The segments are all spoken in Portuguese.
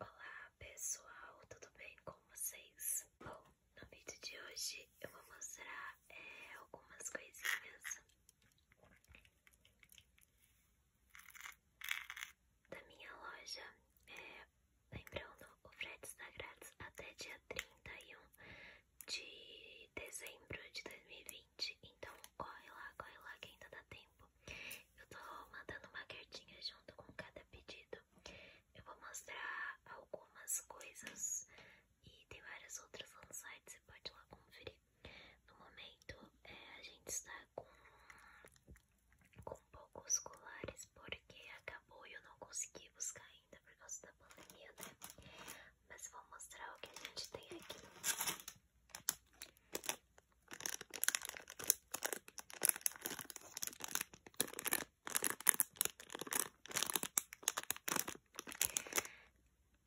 Olá pessoal, tudo bem com vocês? Bom, no vídeo de hoje eu vou mostrar é, algumas coisinhas da minha loja. É, lembrando, o frete está grátis até dia 31 de dezembro de 2020, então corre lá, corre lá que ainda dá tempo. Eu tô mandando uma cartinha junto com cada pedido. Eu vou mostrar algumas coisas e tem várias outras no site, você pode ir lá conferir. No momento, é, a gente está com, com poucos colares porque acabou e eu não consegui buscar ainda por causa da pandemia, né? Mas vou mostrar o que a gente tem aqui.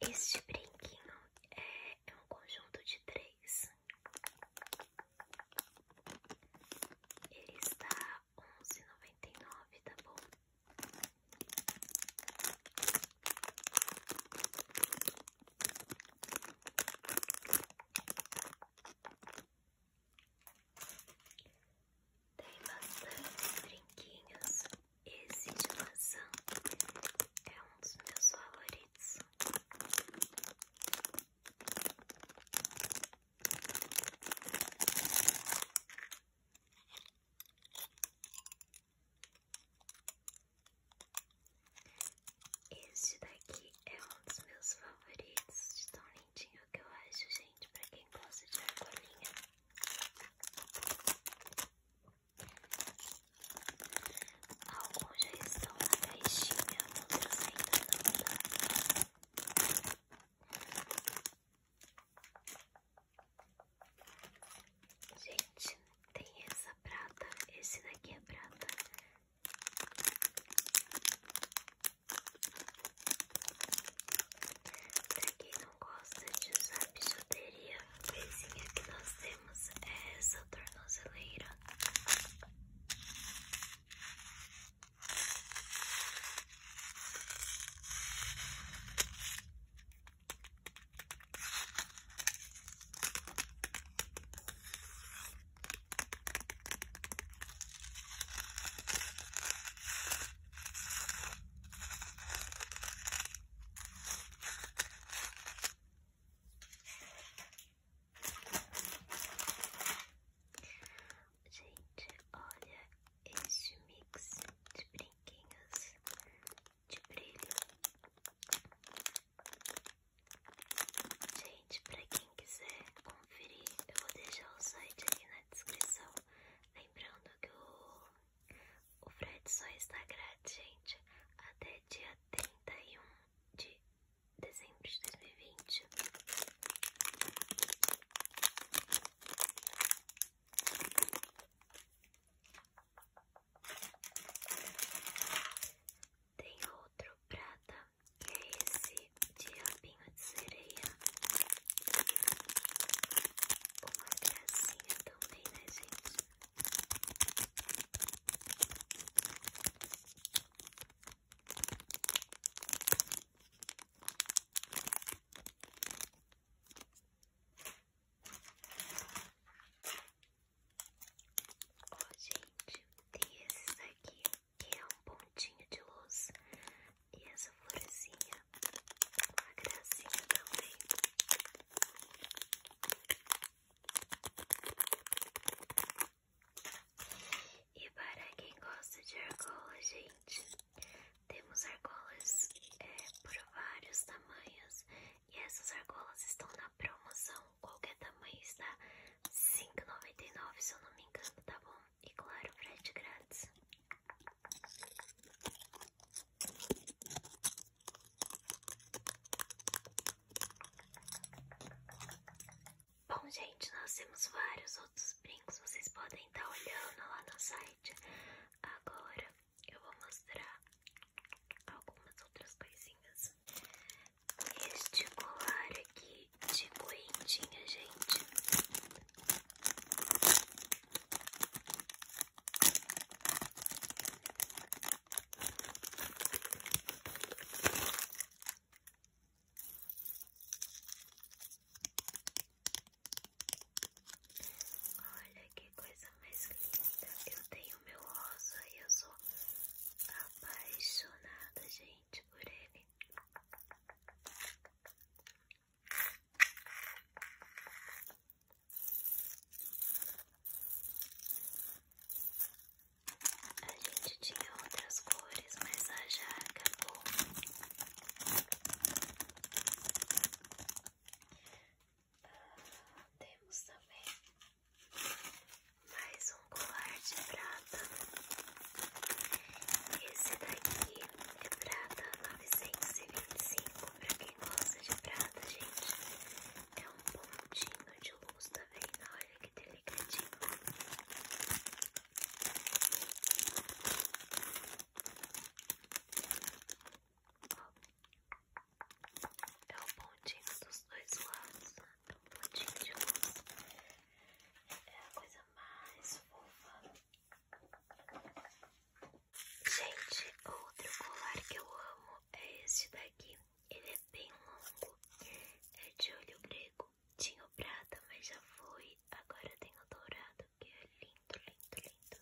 Este brinquinho é, um conjunto de três. Ele está onze noventa e nove, tá bom? Tem bastante brinquinhos. Esse de maçã é um dos meus favoritos. Este daqui é um dos meus favoritos, de tão lindinho que eu acho, gente, pra quem gosta de argolinha. Alguns já estão na caixinha, outros ainda não tá. Gente, tem essa prata, esse daqui é prata. Pra quem não gosta de usar bijuteria, a coisinha que nós temos é essa tornozeleira. Gente, olha esse mix de brinquinhos de brilho Gente, pra quem quiser conferir, eu vou deixar o site aqui na descrição. Lembrando que o, o frete só está grátis, gente, até dia 31 de dezembro de 2020. Tem outro prata, que é esse de diabinho de sereia. Uma gracinha também, né, gente? Ó, gente, tem esses aqui que é um pontinho de luz e essa florzinha, uma gracinha também. E para quem gosta de argola, gente, temos argolas é, por vários tamanhos e essas argolas estão na promoção. Qualquer tamanho está R$5,99, se eu não me engano, tá bom? E claro, frete grátis. Bom, gente, nós temos vários outros brincos. Vocês podem estar tá olhando lá no site. Agora eu vou mostrar algumas outras coisinhas. Este colar aqui de correntinha, gente. Olha que coisa mais linda. Eu tenho meu rosa e eu sou apaixonada, gente, por ele. A gente tinha outras cores, mas a já acabou. Temos também mais um colar de prata. Esse daqui é prata 925, para quem gosta de prata, gente. É um pontinho de luz, tá Olha que delicadinho. É o pontinho dos dois lados, né? um é pontinho de luz. É a coisa mais fofa. Gente, outro colar que eu amo é este daqui. Ele é bem longo. É de olho grego. Tinha o prata, mas já foi. Agora tem o dourado, que é lindo, lindo, lindo.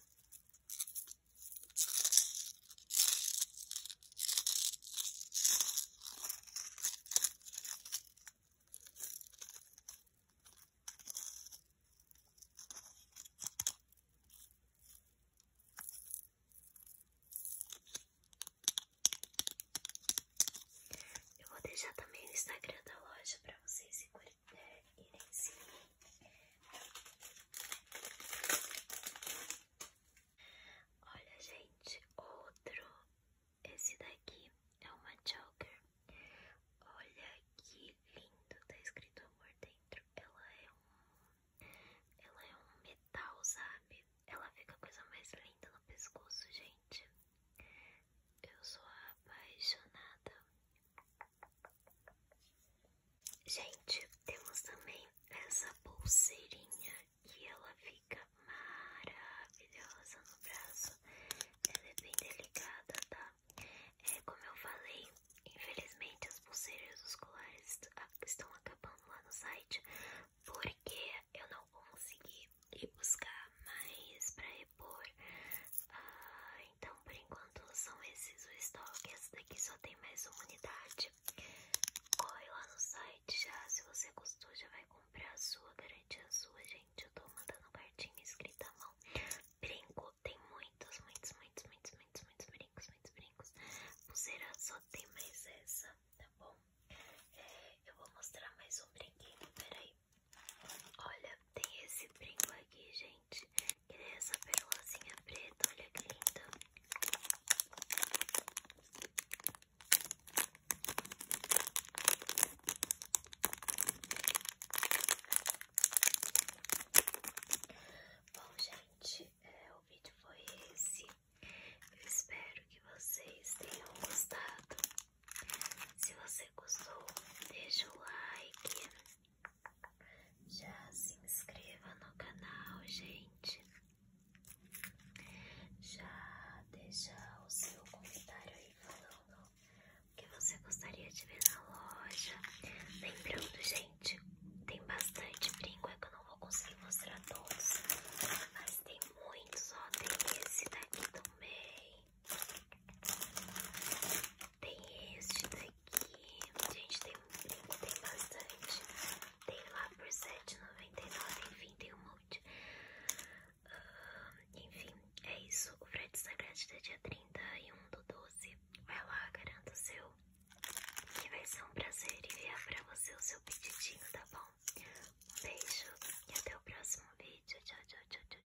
Eu vou deixar também o Instagram da loja para vocês se curiosos. Olha, gente, outro. Esse daqui é uma choker. Olha que lindo, tá escrito amor dentro. Ela é um. Ela é um metal, sabe? Ela fica a coisa mais linda no pescoço, gente. Eu sou apaixonada Gente, temos também essa pulseirinha que ela fica maravilhosa no braço. Ela é bem delicada, tá? É como eu falei, infelizmente as pulseiras dos colares ah, estão acabando lá no site porque eu não consegui ir buscar mais pra ah, então, por enquanto, são esses o estoque. Essa daqui só tem mais uma unidade. Corre lá no site já. Se você gostou, já vai comprar a sua, garante a sua, gente. Eu tô mandando cartinha escrita à mão. Brinco, tem muitos, muitos, muitos, muitos, muitos, muitos brincos, muitos brincos. Pulseira só tem mais essa, tá bom? É, eu vou mostrar mais um brinquinho peraí. Olha, tem esse brinco aqui, gente. Que é essa perolazinha preta, olha que linda. Bom, gente, é, o vídeo foi esse. Eu espero que vocês tenham gostado. Se você gostou, deixa o like. Já se inscreva no canal, gente. Já deixa o seu comentário aí falando o que você gostaria de ver na loja. Lembrando, gente, tem bastante brinco, é que eu não vou conseguir mostrar todos. Mas tem muitos, ó. Tem esse daqui também. Tem este daqui. Gente, tem um tem bastante. Tem lá por R$7,99. Enfim, tem um monte. Ah, enfim, é isso. O frete está grátis até dia 31 do 12. Vai lá, garanto o seu. Que vai ser um prazer enviar pra você o seu pedidinho, tá bom? Um beijo e até o próximo vídeo. Tchau, tchau, tchau, tchau.